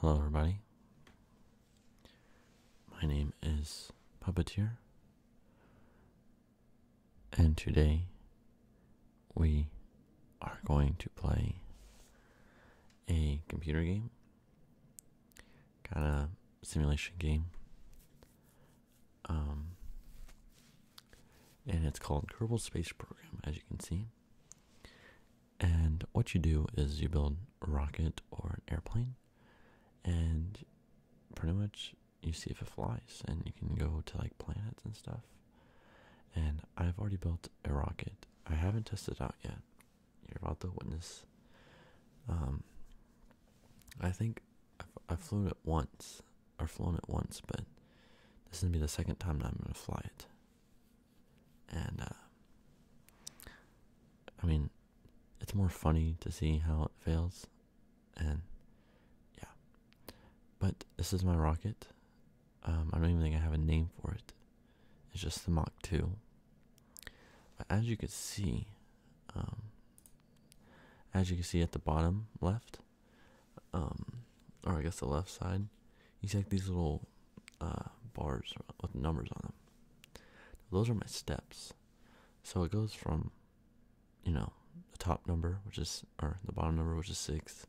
Hello, everybody. My name is Puppeteer, and today we are going to play a computer game, kind of simulation game. Um, and it's called Kerbal Space Program, as you can see. And what you do is you build a rocket or an airplane, and pretty much you see if it flies, and you can go to like planets and stuff. And I've already built a rocket. I haven't tested it out yet. You're about to witness. Um, I think I flew it once, are flown at once, but this is gonna be the second time that I'm gonna fly it. And uh, I mean, it's more funny to see how it fails, and yeah. But this is my rocket. Um, I don't even think I have a name for it. It's just the Mach Two. But as you can see, um, as you can see at the bottom left, um, or I guess the left side, you take these little uh, bars with numbers on them. Those are my steps. So it goes from, you know, the top number, which is, or the bottom number, which is six,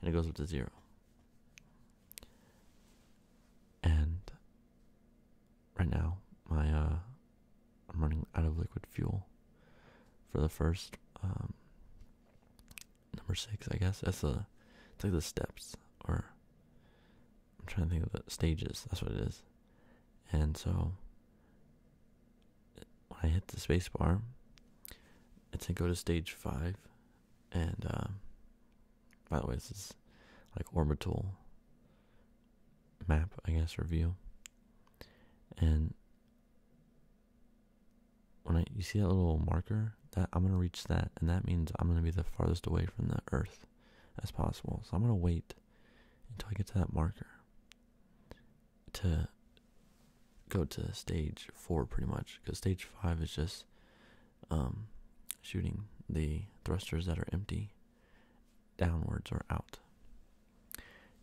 and it goes up to zero. And right now, my, uh, I'm running out of liquid fuel for the first, um, number six, I guess. That's the, it's like the steps, or I'm trying to think of the stages. That's what it is. And so, when I hit the space bar, it's to go to stage five. And uh, by the way, this is like orbital map, I guess, review. And when I you see that little marker that I'm gonna reach that, and that means I'm gonna be the farthest away from the Earth as possible. So I'm gonna wait until I get to that marker to go to stage four, pretty much, because stage five is just um, shooting the thrusters that are empty downwards or out.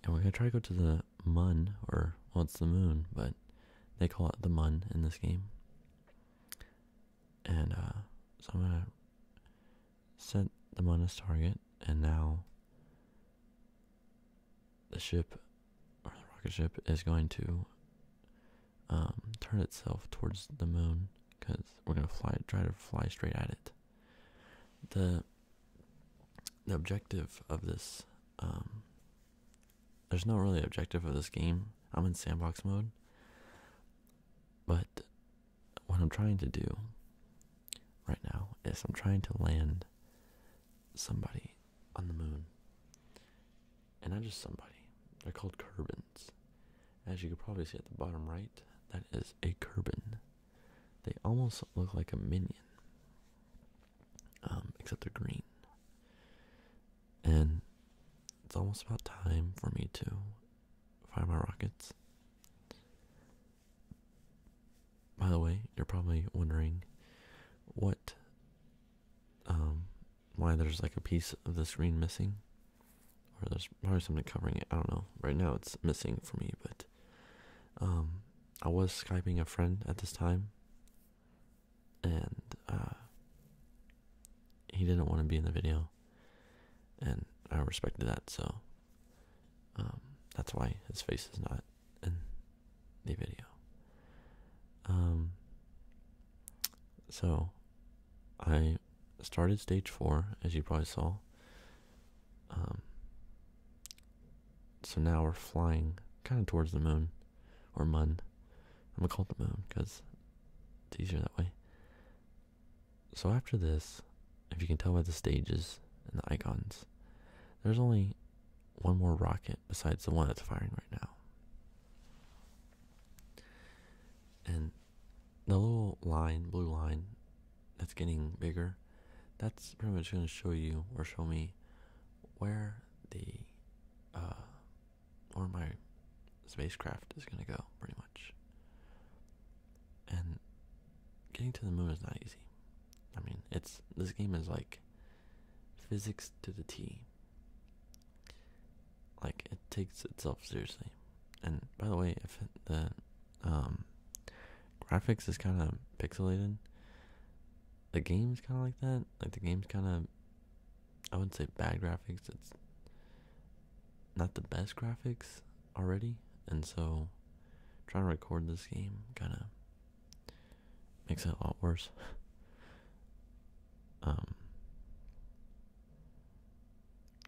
And we're going to try to go to the moon, or, what's the moon, but they call it the moon in this game. And, uh, so I'm going to set the moon as target, and now the ship, or the rocket ship, is going to um, turn itself towards the moon because we're going to fly, try to fly straight at it. The the objective of this um, there's no really objective of this game. I'm in sandbox mode. But what I'm trying to do right now is I'm trying to land somebody on the moon. And not just somebody. They're called curbins. As you can probably see at the bottom right, that is a curbin. They almost look like a minion. Um, except they're green. And it's almost about time for me to fire my rockets. By the way, you're probably wondering what, um, why there's like a piece of the screen missing, or there's probably something covering it. I don't know. Right now, it's missing for me, but um, I was skyping a friend at this time, and uh, he didn't want to be in the video, and I respected that. So um, that's why his face is not in the video. Um, so I started stage four, as you probably saw. Um, so now we're flying kind of towards the moon or mun. I'm gonna call it the moon because it's easier that way. So after this, if you can tell by the stages and the icons, there's only one more rocket besides the one that's firing right now. And the little line, blue line, that's getting bigger, that's pretty much going to show you or show me where the uh, or my spacecraft is going to go, pretty much. And getting to the moon is not easy. I mean, it's this game is like physics to the T. Like it takes itself seriously. And by the way, if the um, graphics is kind of pixelated. The game's kind of like that. Like the game's kind of, I wouldn't say bad graphics. It's not the best graphics already, and so trying to record this game kind of makes it a lot worse. Um,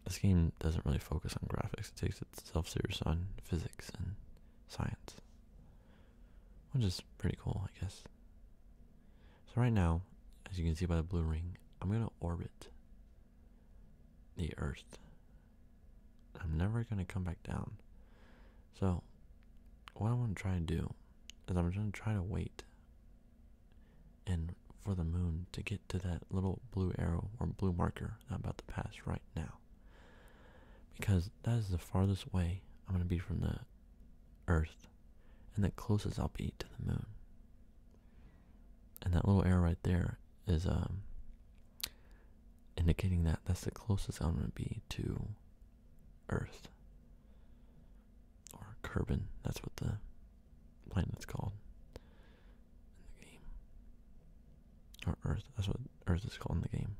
this game doesn't really focus on graphics; it takes itself serious on physics and science, which is pretty cool, I guess. So, right now, as you can see by the blue ring, I'm going to orbit the Earth. I'm never going to come back down. So, what I want to try to do is I'm going to try to wait and for the moon to get to that little blue arrow or blue marker that about to pass right now. Because that is the farthest way I'm going to be from the Earth, and the closest I'll be to the moon. And that little arrow right there is um, indicating that that's the closest I'm going to be to Earth. Or Kerbin, that's what the planet's called in the game or Earth. That's what Earth is called in the game.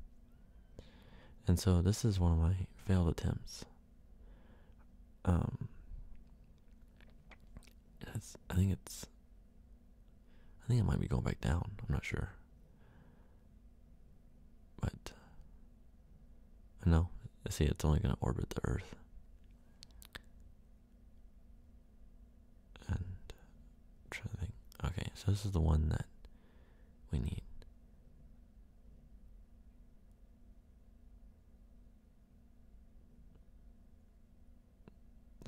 And so this is one of my failed attempts. Um, it's, I think it's. I think it might be going back down. I'm not sure. But know. see, it's only going to orbit the Earth and trying Okay, so this is the one that we need.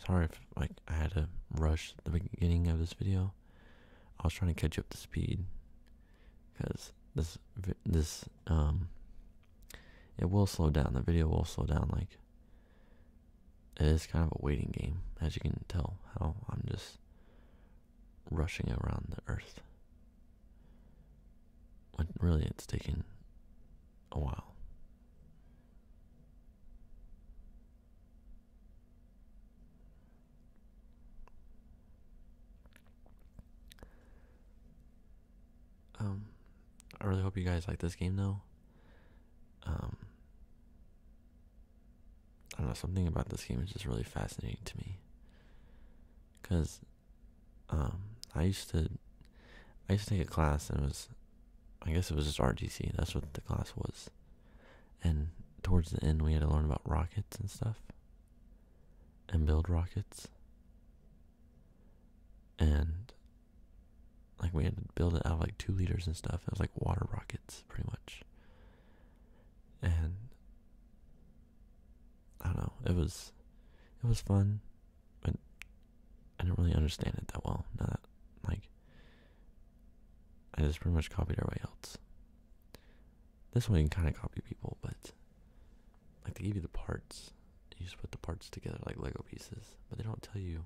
Sorry if like I had to rush the beginning of this video. I was trying to catch up the speed because this this um it will slow down. The video will slow down like it is kind of a waiting game, as you can tell how I'm just rushing around the earth. When really it's taken a while. Um, I really hope you guys like this game though. Um, I don't know, something about this game is just really fascinating to me. Cause, um, I used to, I used to take a class and it was, I guess it was just RTC. That's what the class was, and towards the end we had to learn about rockets and stuff, and build rockets. And like we had to build it out of like two liters and stuff. It was like water rockets, pretty much. And I don't know. It was, it was fun, but I didn't really understand it that well. Not like I just pretty much copied everybody else. This one you can kind of copy people, but like they give you the parts. You just put the parts together like Lego pieces, but they don't tell you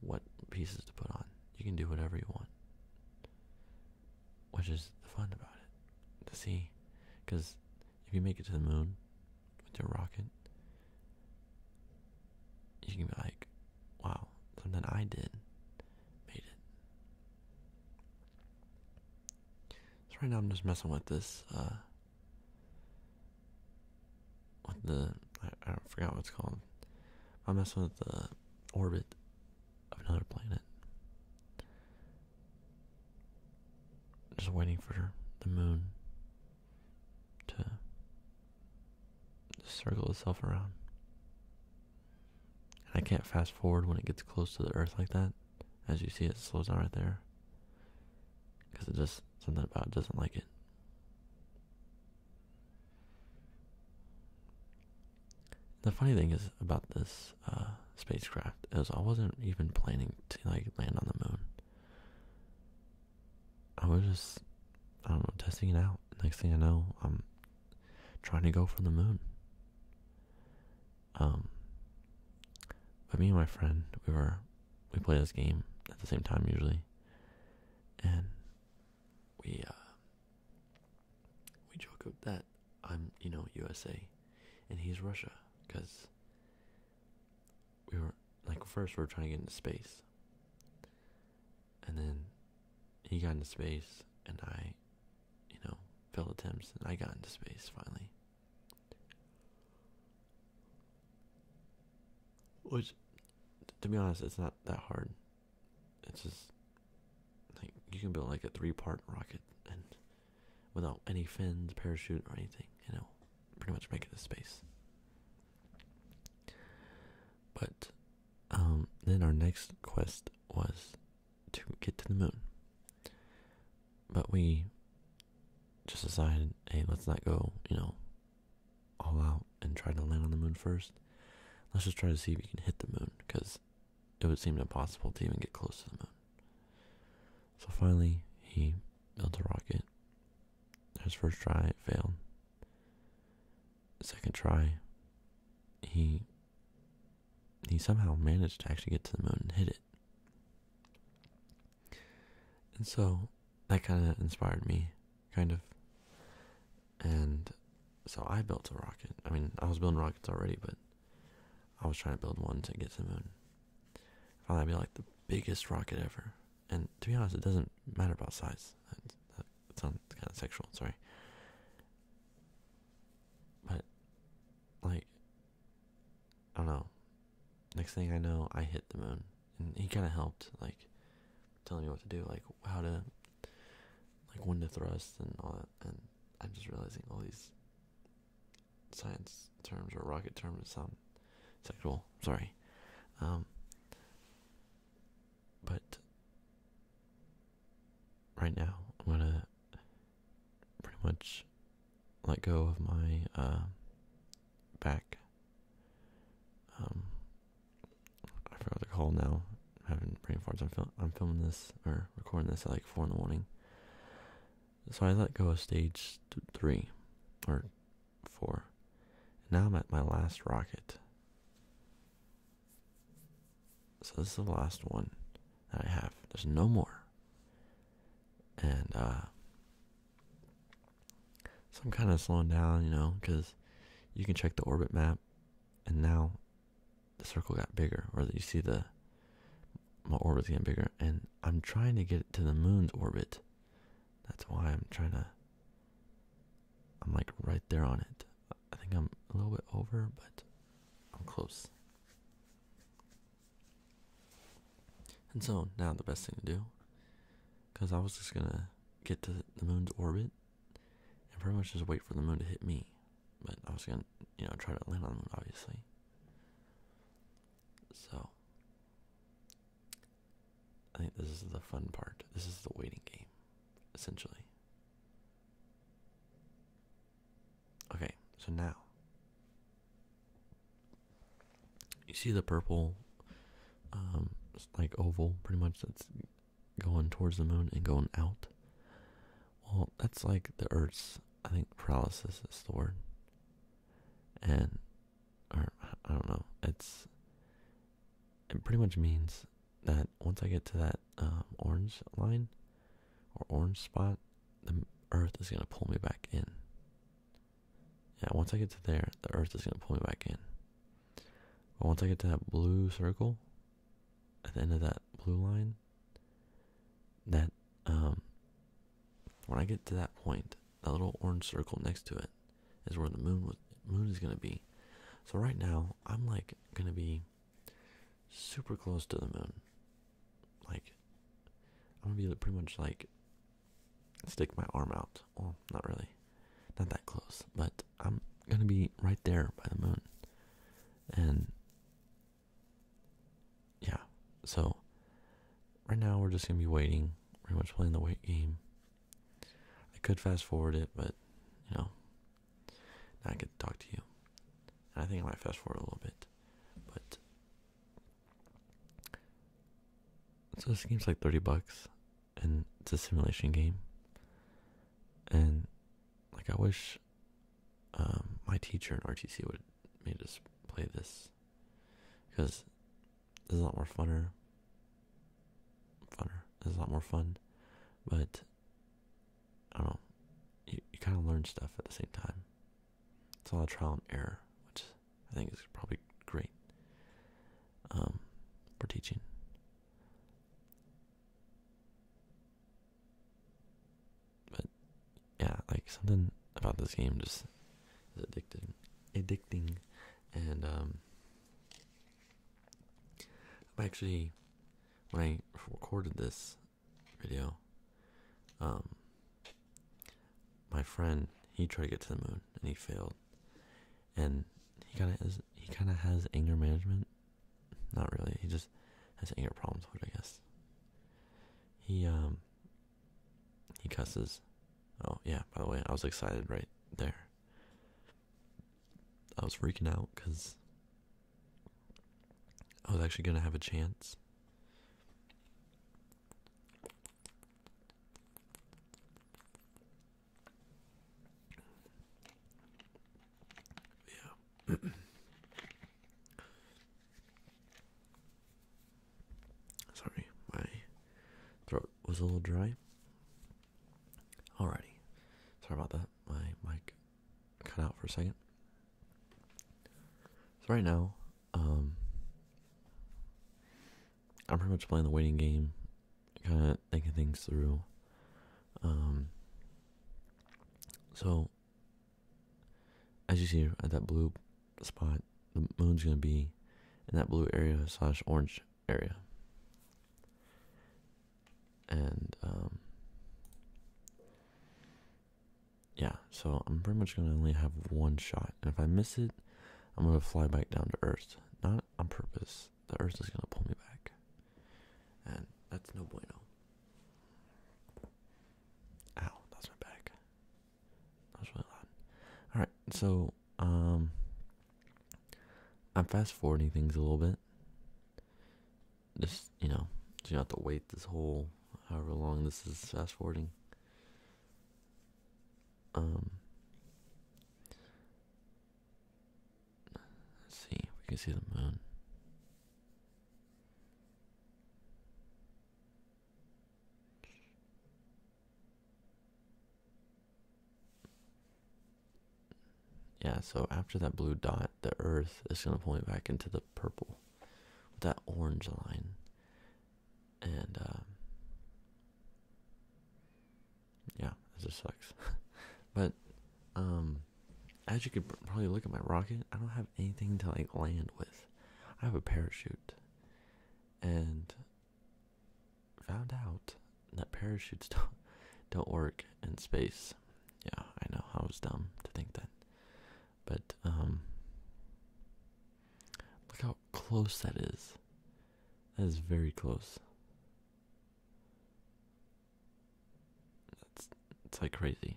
what pieces to put on. You can do whatever you want, which is the fun about it. To see, because if you make it to the moon with your rocket, you can be like, wow, something I did made it. So right now I'm just messing with this, uh, what the I, forgot what called. I'm messing with the orbit of another planet. Just waiting for the moon to circle itself around. And I can't fast forward when it gets close to the Earth like that. As you see, it slows down right there. Because it just, something about doesn't like it. The funny thing is about this uh, spacecraft is I wasn't even planning to like land on the moon. I was just I don't know testing it out. Next thing I know, I'm trying to go for the moon. Um, but me and my friend, we were we play this game at the same time usually, and we uh, we joke about that I'm you know USA and he's Russia because we were like first we we're trying to get into space and then he got into space and I you know failed attempts and I got into space finally which to be honest, it's not that hard. It's just like you can build like a three-part rocket and without any fins, parachute, or anything, you know, pretty much make it to space. But um, then our next quest was to get to the moon. But we just decided, hey, let's not go, you know, all out and try to land on the moon first. Let's just try to see if we can hit the moon because it would seem impossible to even get close to the moon. So finally, he built a rocket. His first try, failed. Second try, he he somehow managed to actually get to the moon and hit it. And so that kind of inspired me, kind of. And so I built a rocket. I mean, I was building rockets already, but I was trying to build one to get to the moon. I thought that'd be like the biggest rocket ever. And to be honest, it doesn't matter about size. that sounds kind of sexual. Sorry. But like, I don't know next thing I know, I hit the moon, and he kind of helped, like telling me what to do, like how to, like when to thrust and all that. And I'm just realizing all these science terms or rocket terms sound sexual. Sorry, um, but right now I'm gonna pretty much let go of my uh, back. Um, I forgot the call now. I'm having brain farts. I'm, I'm filming this or recording this at like 4 in the morning. So I let go of stage 3 or 4. And now I'm at my last rocket. So this is the last one that I have. There's no more. And uh so I'm kind of slowing down, you know, because you can check the orbit map, and now the circle got bigger, or you see the my orbit's getting bigger, and I'm trying to get to the moon's orbit. That's why I'm trying to. I'm like right there on it. I think I'm a little bit over, but I'm close. And so now the best thing to do, because I was just gonna get to the moon's orbit and pretty much just wait for the moon to hit me. But I was gonna, you know, try to land on the obviously. So, I think this is the fun part. This is the waiting game, essentially. Okay, so now you see the purple, um, like oval, pretty much that's going towards the moon and going out. Well, that's like the Earth's. I think paralysis is the word, and I don't know. It's it pretty much means that once I get to that um, orange line or orange spot, the Earth is gonna pull me back in. Yeah, once I get to there, the earth is going to pull me back in. But once I get to that blue circle, at the end of that blue line, that, um, when I get to that point, that little orange circle next to it is where the moon moon is going to be. So right now, I'm like going to be super close to the moon. Like, I'm going to be pretty much like stick my arm out. Well, not really, not that close, but I'm gonna be right there by the moon. And yeah, so right now we're just gonna be waiting, pretty much playing the wait game. I could fast forward it, but you know, I could talk to you. I think I might fast forward a little bit, but so this game's like 30 bucks and it's a simulation game. And like I wish um, my teacher in RTC would me just play this because it's a lot more funner. Funner. It's a lot more fun. But I don't you kind of learn stuff at the same time. It's a lot of trial and error, which I think is probably great um, for teaching. But yeah, like something about this game just is addicting, addicting, and um, I actually when I recorded this video, um, my friend he tried to get to the moon and he failed, and he kind of has anger management. Not really. He just has anger problems, which I guess. He um. He cusses. Oh yeah. By the way, I was excited right there. I was freaking out because I was actually gonna have a chance yeah. Sorry, my throat was a little dry. Alrighty. Sorry about that. My mic cut out for a second. So, right now, um, I'm pretty much playing the waiting game, kind of thinking things through. Um, so, as you see at that blue spot, the moon's going to be in that blue area slash orange area. And, um, yeah, so I'm pretty much gonna only have one shot, and if I miss it, I'm gonna fly back down to Earth. Not on purpose. The Earth is gonna pull me back, and that's no bueno. Ow, that's my back. That was really loud. All right, so um, I'm fast forwarding things a little bit. Just you know, so you don't have to wait this whole however long this is fast forwarding. Um, let's see we can see the moon. Yeah, so after that blue dot, the earth is going to point back into the purple with that orange line and um, yeah, this sucks. but um, as you could probably look at my rocket, I don't have anything to like land with. I have a parachute, and found out that parachutes don't don't work in space. Yeah, I know. I was dumb to think that. But um, look how close that is. That is very close. That's it's like crazy.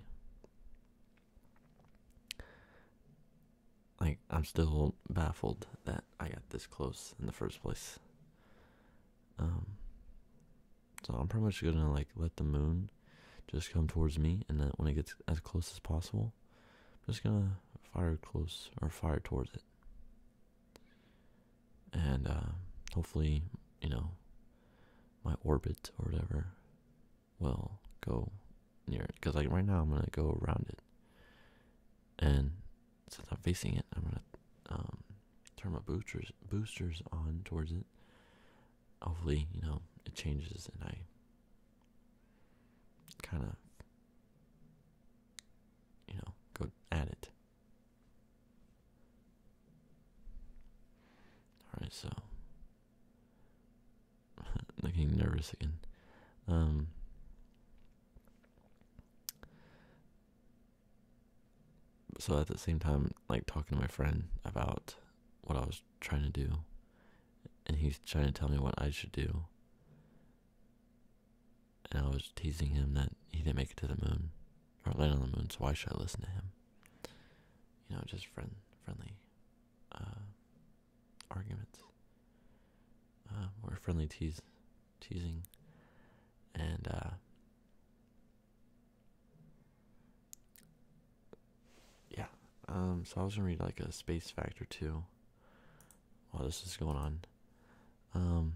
Like I'm still baffled that I got this close in the first place. Um, so I'm pretty much gonna like let the moon just come towards me and then when it gets as close as possible I'm just gonna fire close or fire towards it. And uh, hopefully, you know, my orbit or whatever will go near it. Because, like, right now I'm gonna go around it. And since I'm facing it, I'm gonna um, turn my boosters, boosters on towards it. Hopefully, you know, it changes and I kind of, you know, go at it. Alright, so. Looking nervous again. Um. So at the same time, like talking to my friend about what I was trying to do and he's trying to tell me what I should do. And I was teasing him that he didn't make it to the moon or land on the moon, so why should I listen to him? You know, just friend friendly uh, arguments uh, or friendly tease, teasing, and uh, yeah, um, so I was gonna read like a Space Factor too. while this is going on. Um,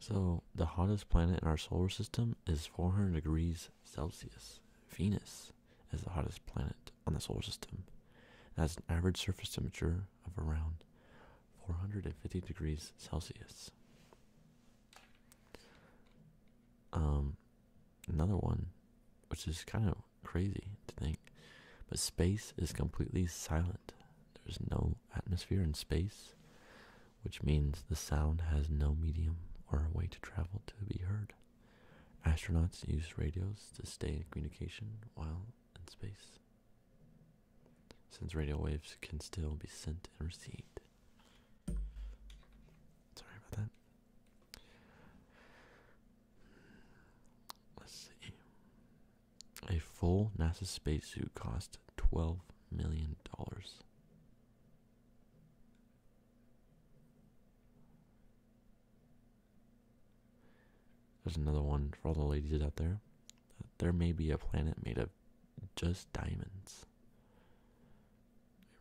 so the hottest planet in our solar system is 400 degrees Celsius. Venus is the hottest planet on the solar system. It has an average surface temperature of around 450 degrees Celsius. Um, another one, which is kind of crazy to think. But space is completely silent. There's no atmosphere in space, which means the sound has no medium or way to travel to be heard. Astronauts use radios to stay in communication while in space, since radio waves can still be sent and received. Sorry about that. Let's see. A full NASA space suit cost twelve million dollars. There's another one for all the ladies out there. There may be a planet made of just diamonds.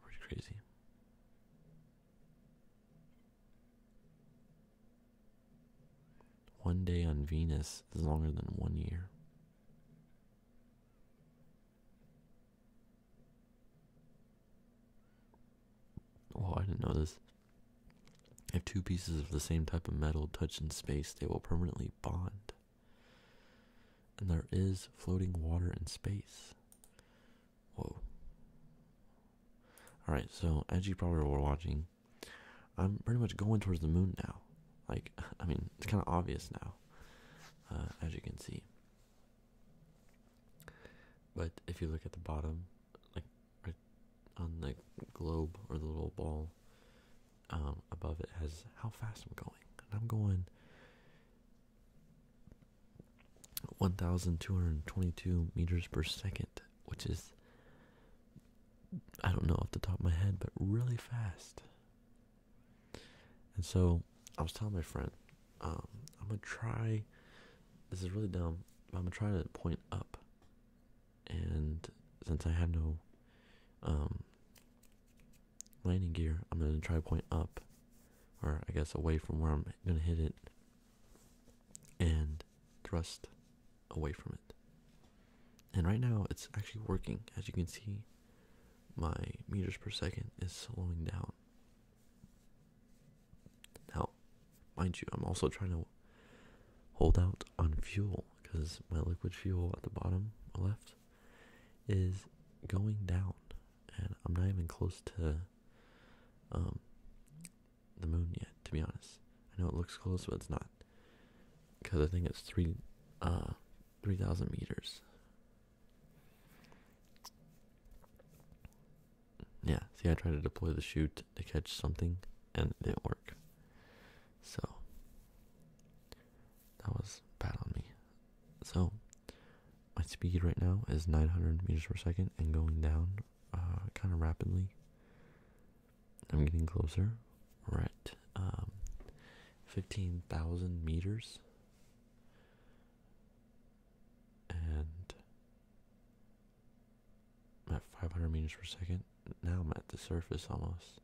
Pretty crazy. One day on Venus is longer than one year. Oh, I didn't know this. If two pieces of the same type of metal touch in space, they will permanently bond. And there is floating water in space. Whoa. Alright, so as you probably were watching, I'm pretty much going towards the moon now. Like, I mean, it's kind of obvious now, uh, as you can see. But if you look at the bottom, like right on the globe or the little ball um, above it, has how fast I'm going. And I'm going 1,222 meters per second, which is, I don't know off the top of my head, but really fast. And so I was telling my friend, um, I'm gonna try, this is really dumb, I'm gonna try to point up. And since I have no um, landing gear, I'm going to try point up, or I guess away from where I'm going to hit it, and thrust away from it. And right now, it's actually working. As you can see, my meters per second is slowing down. Now, mind you, I'm also trying to hold out on fuel because my liquid fuel at the bottom left is going down and I'm not even close to um, the moon yet, to be honest. I know it looks close, but it's not, because I think it's three, uh, three thousand meters. Yeah, see, I tried to deploy the chute to catch something, and it didn't work. So that was bad on me. So my speed right now is 900 meters per second and going down uh, kind of rapidly. I'm getting closer. We're at um, 15,000 meters. And at 500 meters per second. Now I'm at the surface almost.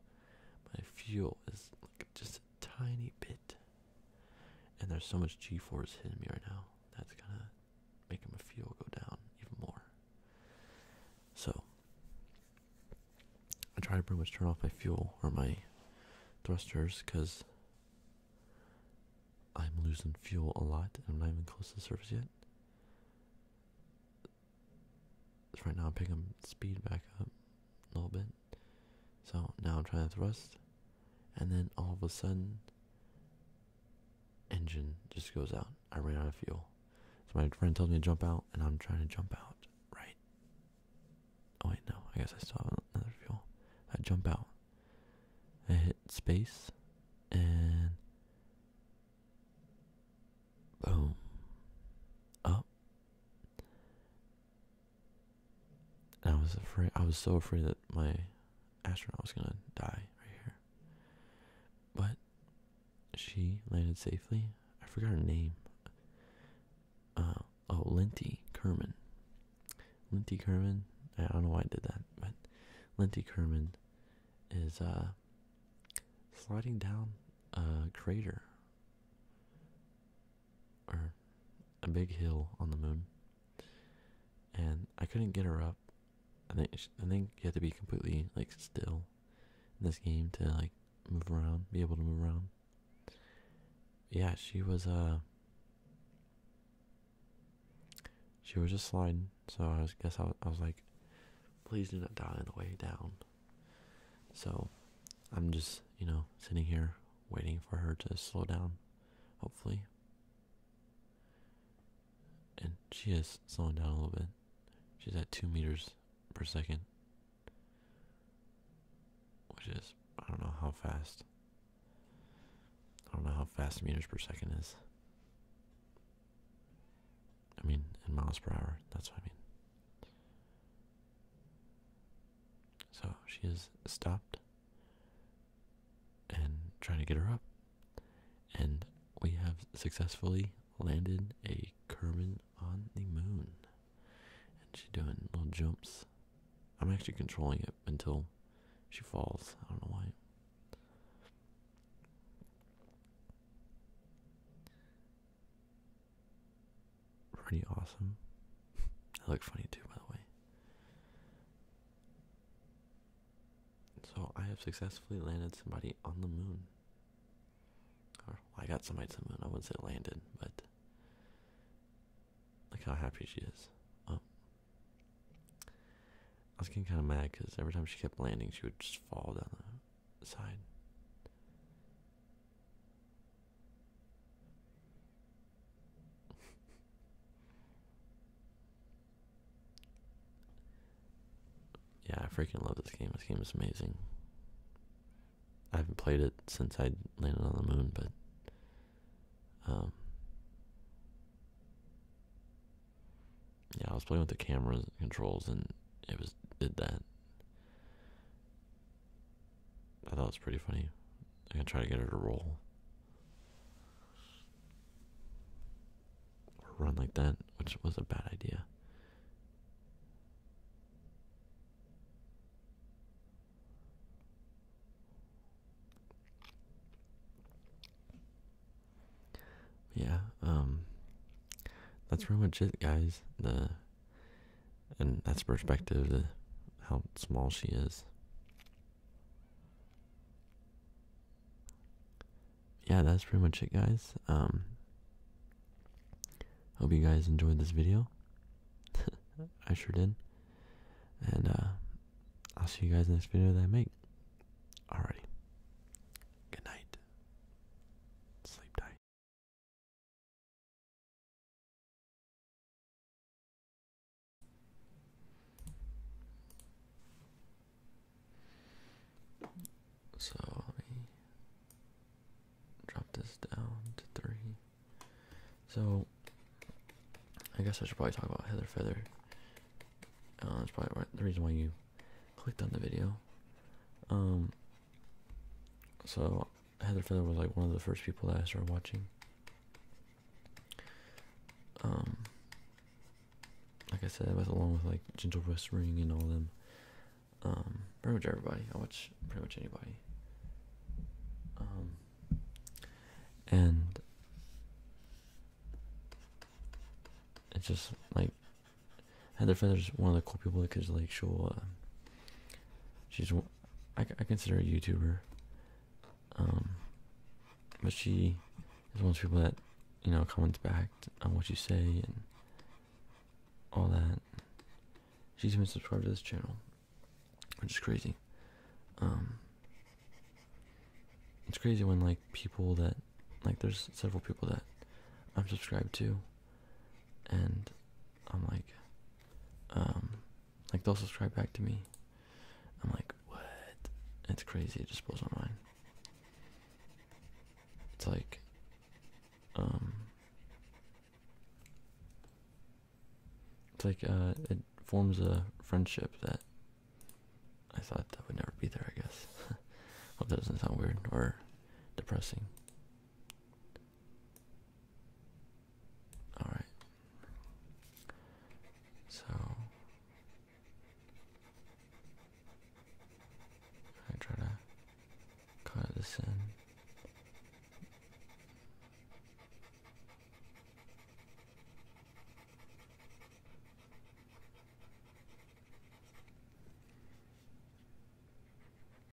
My fuel is just a tiny bit. And there's so much G-force hitting me right now. That's gonna make my fuel go down even more. So I try to pretty much turn off my fuel or my thrusters because I'm losing fuel a lot and I'm not even close to the surface yet. right now I'm picking speed back up a little bit. So now I'm trying to thrust, and then all of a sudden, engine just goes out. I ran out of fuel. So my friend tells me to jump out, and I'm trying to jump out, right? Oh, wait, no, I guess I still have another fuel. I jump out, I hit space, and boom, up, and I was afraid. I was so afraid that my astronaut was gonna die right here. But she landed safely. I forgot her name. Uh, oh, Linty Kerman. Linty Kerman. I don't know why I did that, but Linty Kerman is uh sliding down a crater or a big hill on the moon, and I couldn't get her up. I think I think you have to be completely like still in this game to like move around, be able to move around. Yeah, she was uh she was just sliding, so I was, guess I was, I was like, please do not die on the way down. So, I'm just you know sitting here waiting for her to slow down, hopefully. And she is slowing down a little bit. She's at two meters per second, which is I don't know how fast. I don't know how fast meters per second is. I mean, in miles per hour. That's what I mean. So she is stopped and trying to get her up. And we have successfully landed a Kerman on the moon. And she's doing little jumps. I'm actually controlling it until she falls. I don't know why pretty awesome. I look funny too, by the way. So I have successfully landed somebody on the moon. Or I got somebody to the moon. I wouldn't say landed, but look how happy she is. Oh. I was getting kind of mad because every time she kept landing, she would just fall down the side. yeah, I freaking love this game. This game is amazing. I haven't played it since I landed on the moon, but um, yeah, I was playing with the camera controls and it was did that. I thought it was pretty funny. I can try to get her to roll. Or run like that, which was a bad idea. Yeah, um that's pretty much it guys. The and that's perspective to how small she is. Yeah, that's pretty much it, guys. Um, hope you guys enjoyed this video. I sure did. And uh, I'll see you guys in the next video that I make. Alrighty. Good night. Sleep tight. So let me drop this down to three. So I guess I should probably talk about Heather Feather. Uh, that's probably the reason why you clicked on the video. Um, so Heather Feather was like one of the first people that I started watching. Um, like I said, along with like Gentle Whispering and all them. Um, pretty much everybody. I watch pretty much anybody. Um, and it's just like Heather Feather is one of the cool people because like she'll uh, she's I, consider a YouTuber. Um, but she is one of those people that you know comments back on what you say and all that. She's even subscribed to this channel, which is crazy. Um, it's crazy when like people that like there's several people that I'm subscribed to, and I'm like, um like they'll subscribe back to me i'm like what it's crazy it just blows my mind it's like um it's like uh it forms a friendship that i thought that would never be there i guess hope that doesn't sound weird or depressing all right. So I try to cut this in.